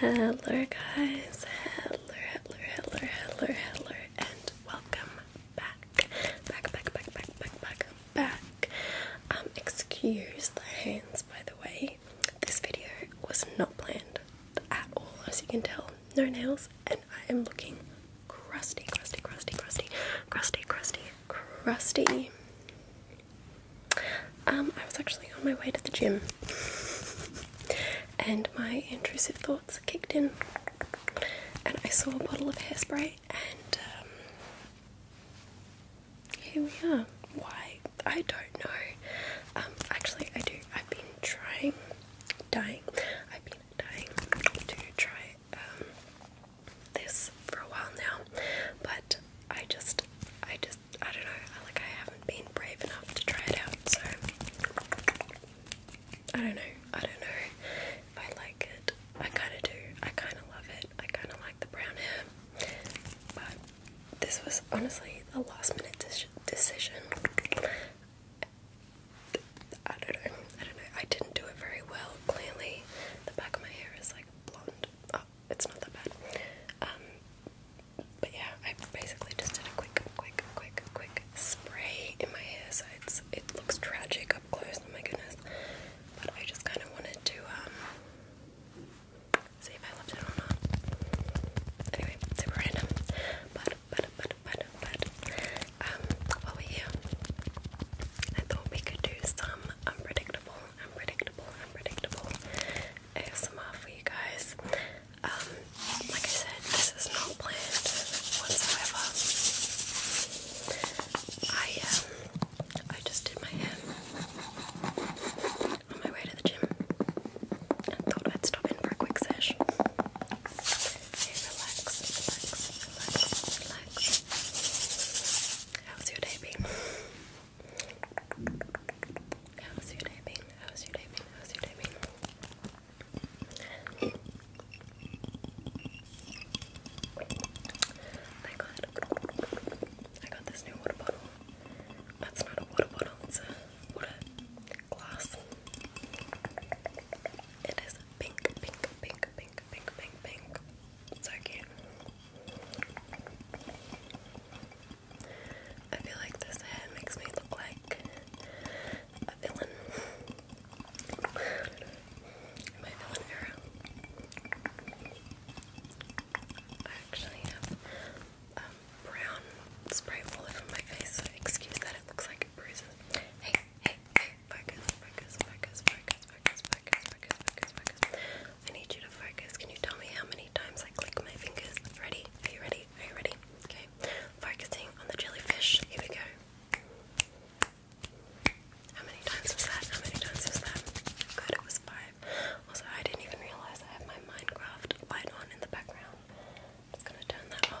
Hello, guys. Hello, hello, hello, hello, hello, and welcome back. Back, back, back, back, back, back, back. Um, excuse the hands, by the way. This video was not planned at all, as you can tell. No nails, and I am looking crusty, crusty, crusty, crusty, crusty, crusty, crusty. Um, I was actually on my way to the gym and my intrusive thoughts kicked in, and I saw a bottle of hairspray, and um, here we are. Why? I don't know. Um, actually, I do. I've been trying, dying, I've been dying to try um, this for a while now, but I just, I just, I don't know, like I haven't been brave enough to try it out, so I don't know, I don't know I like it. I kind of do, I kind of love it, I kind of like the brown hair, but this was honestly a last minute decision. I don't know. I don't know. I didn't do it very well. Clearly, the back of my hair is like blonde. Oh, it's not that bad. Um, but yeah, I basically just did a quick, quick, quick, quick spray in my hair, so it's, it looks tragic up close. Oh my goodness! But I just kind of wanted to um, see if I loved it or not. Anyway, super random. But but but but but um, while we're I thought we could do some unpredictable, unpredictable, unpredictable ASMR for you guys. Um, like I said, this is not planned whatsoever. I um, I just did my hair on my way to the gym and thought I'd stop in for a quick sesh. Hey, relax, relax, relax, relax relax. How's your day been? How's your day been? How's your day been? How's your day been? I got, I got this new water bottle. That's not a water bottle, it's a water glass. It is pink, pink, pink, pink, pink, pink. So cute. I feel like this hair makes me look like a villain. My villain era. I actually have um, brown spray all over my face, excuse that it looks like bruises. Hey, hey, Focus, focus, focus, focus, focus, focus, focus, focus, focus. I need you to focus. Can you tell me how many times I click my fingers? Ready? Are you ready? Are you ready? Okay. Focusing on the jellyfish. Here we go. How many times was that? How many times was that? Good, it was five. Also, I didn't even realize I have my Minecraft light on in the background. I'm just gonna turn that off.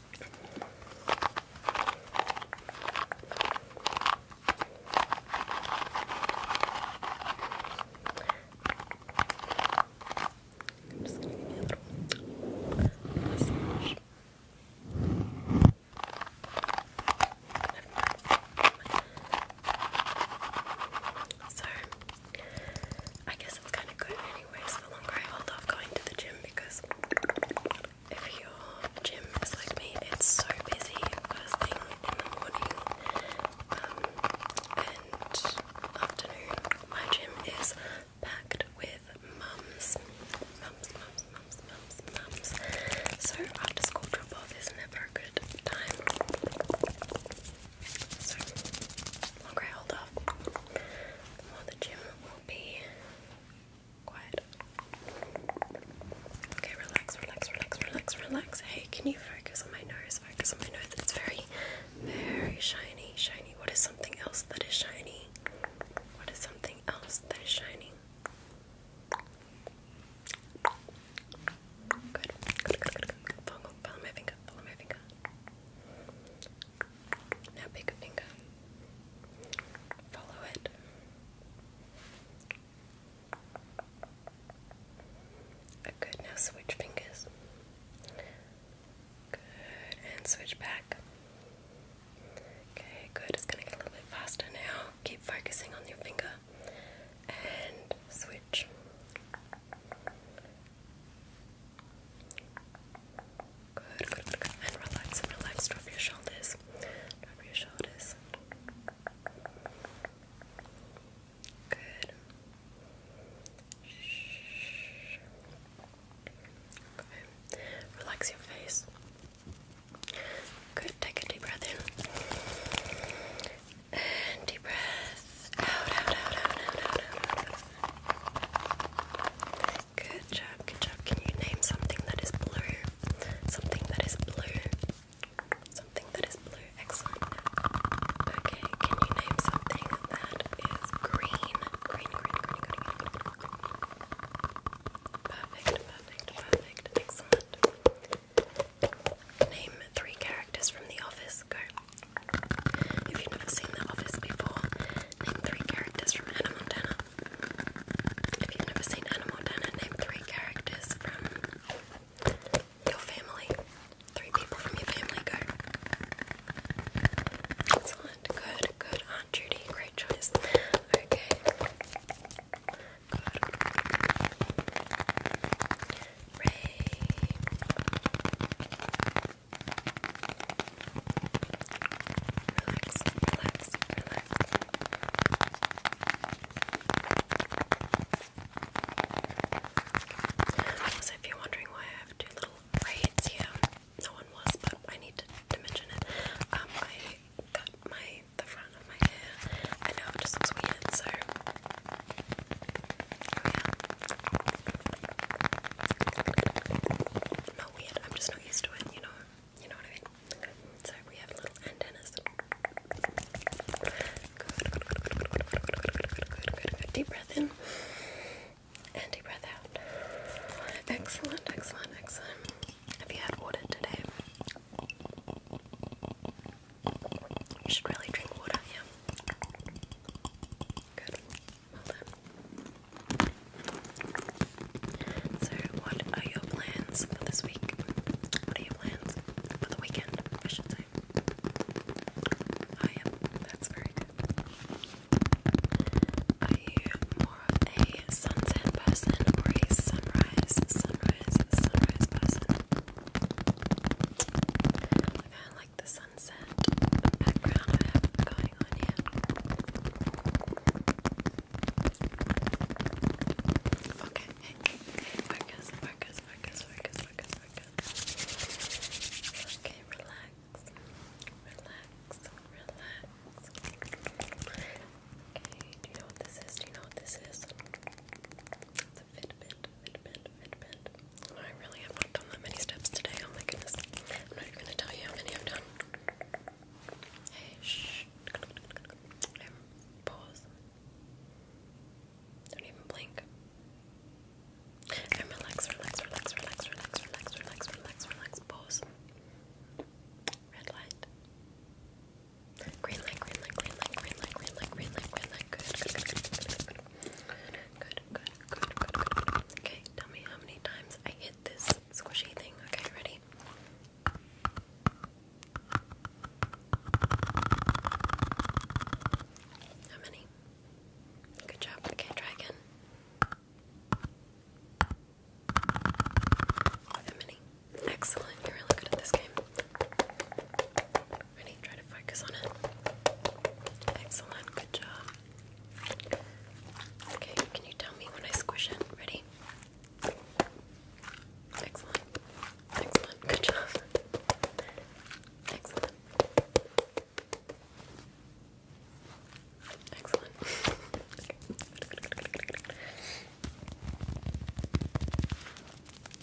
I'm just gonna give me a little massage. So, I guess it's kind of good, anyways. The longer I hold off going to the gym, because if your gym is like me, it's so busy first thing in the morning um, and afternoon. My gym is packed with mums, mums, mums, mums, mums, mums. So after school drop off is never a good time. So longer I hold off, the the gym will be Quiet. Okay, relax, relax, relax, relax, relax. Hey, can you focus on my nose? Focus on my nose. It's very, very shiny, shiny. What is something else that is shiny? What is something else that is shiny? Good. Follow, follow my finger, follow my finger. Now pick a finger. Follow it. good, now switch fingers. Good, and switch back. Okay, good, it's gonna get a little bit faster now. Keep focusing on your finger. And switch. Good, good, good, And relax and relax. Drop your shoulders. Drop your shoulders. Good. Shh. Okay. Relax your face. Good. Take a deep breath in. And deep breath out, out, out, out, out, out. out. Good job, good job. Can you name something that is blue? Something that is blue. Something that is blue. Excellent. Okay, can you name something that is green? Green, green, green, green, Perfect, perfect, perfect. Excellent. Name three characters from The Office. Go. If you've never seen The Office before, name three characters from Hannah Montana. If you've never seen Hannah Montana, name three characters from your family. Three people from your family go. Excellent. Good, good. Aunt Judy, great choice. Okay. Good. Ray. Relax, Also, if you're wondering why I have two little braids here, no one was, but I need to, to mention it. Um, I cut my the front of my hair. I know it just looks weird, so oh not weird, I'm just not used to it, you know. You know what I mean? So we have little antennas. Good, good, good, good, good, good, good, good, good, good, good, good. Deep breath in. And deep breath out. Excellent, excellent, excellent. Have you had water today? You should really drink water, yeah. Good. So, what are your plans for this week? What are your plans for the weekend? I should say. I am. That's very good. Are you more of a sunset person or a sunrise, sunrise, sunrise person? I kind the sunset background I have going on here. Okay, okay, focus, focus, focus, focus, focus, focus. Okay, relax, relax, relax. Okay, do you know what this is? Do you know what this is? It's Fitbit. I really have not done that many steps today. Oh my goodness. I'm not even going to tell you how many I've done. Hey, shh. Um, pause. Don't even blink. And relax, relax, relax, relax, relax, relax, relax, relax, relax, pause. Red light. Green light, green light, green light, green light, green light, green light, good, good, Okay, tell me how many times I hit this squishy thing. Okay, ready? How many? Good job. Okay, try again. How many? Excellent. You're really good at this game. Ready? Try to focus on it. Excellent. Good job. Okay, can you tell me when I squish it? Ready? Excellent. Excellent. Good job. Excellent. Excellent.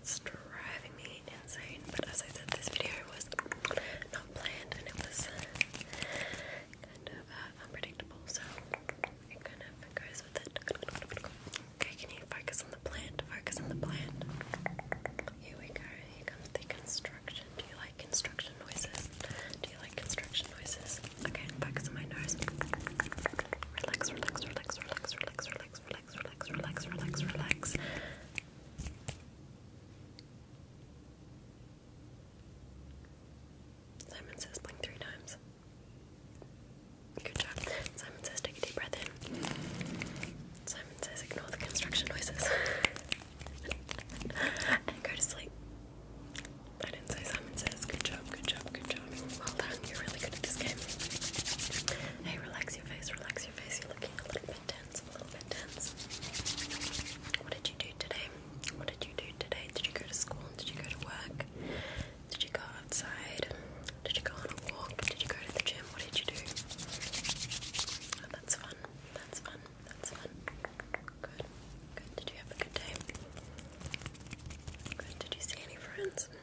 it's driving me insane. But as I said, this video was not planned and it was uh, kind of uh, unpredictable, so it kind of goes with it. Okay, can you focus on the plant? Focus on the plant. Here we go. Here comes the construction. Do you like construction noises? Do you like construction noises? Okay, focus on my nose. relax, relax, relax, relax, relax relax, relax, relax, relax, relax, Simon says blink three times. Good job. Simon says take a deep breath in. Simon says ignore the construction noises. and go to sleep. I didn't say Simon says. Good job, good job, good job. Well done, you're really good at this game. Hey, relax your face, relax your face. You're looking a little bit tense, a little bit tense. What did you do today? What did you do today? Did you go to school? Did you go to work? Did you go outside? Did you go on a walk? Did you go to the gym? What did you do? Oh, that's fun. That's fun. That's fun. Good. Good. Did you have a good day? Good. Did you see any friends?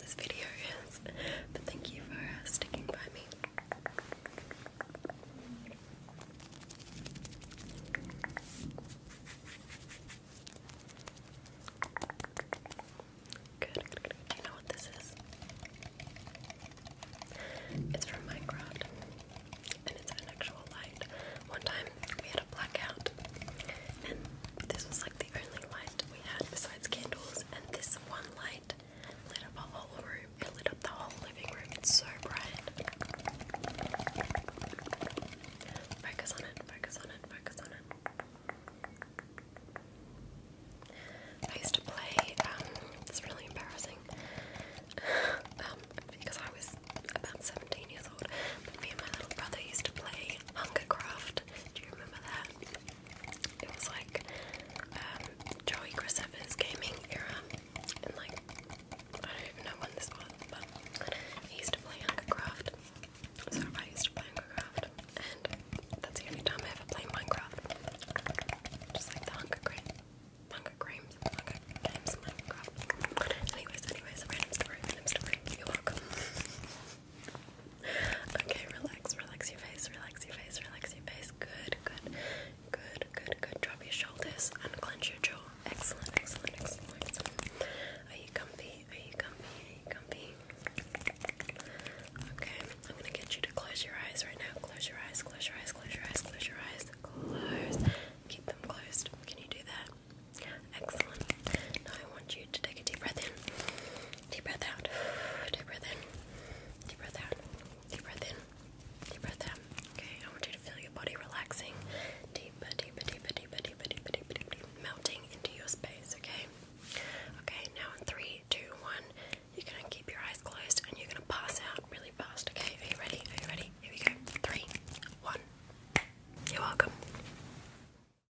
this video is, but thank you for uh, sticking by me. Good, Do you know what this is? It's from Minecraft, and it's an actual light. One time we had a blackout, and this was the only light we had besides candles, and this one light lit up a whole room. It lit up the whole living room. It's so bright. Focus on it, focus on it, focus on it. I used to play, um, it's really embarrassing. Um, because I was about 17 years old, me and my little brother used to play Hungercraft. Do you remember that? It was like um, Joey Christopher's gaming era, and like I don't even know when this was, but he used to play Hungercraft. So I used to play Hungercraft, and that's the only time I ever played Minecraft. Just like the Hunger Crate. Hunger Games, Hunger Games, Minecraft. Anyways, anyways, random story, random story. You're welcome okay, relax, relax your face, relax your face, relax your face. Good, good, good, good, good. Drop your shoulders and clench your jaw. Excellent, excellent, excellent, excellent. Are you comfy? Are you comfy? Are you comfy? Okay, I'm gonna get you to close your eyes right now. Close your eyes, close your eyes, close your eyes, close your eyes, close. Keep them closed. Can you do that? Excellent. Now I want you to take a deep breath in Deep breath out. Deep breath in. Deep breath out. Deep breath in. Deep breath out. Okay, I want you to feel your body relaxing. Deeper, deeper, deeper, deeper, deeper, deeper, deeper, deeper, deeper. melting into your space, okay? Okay, now in three, two, one, you're gonna keep your eyes closed and you're gonna pass out really fast, okay? Are you ready? Are you ready? Here we go. Three, one. You're welcome.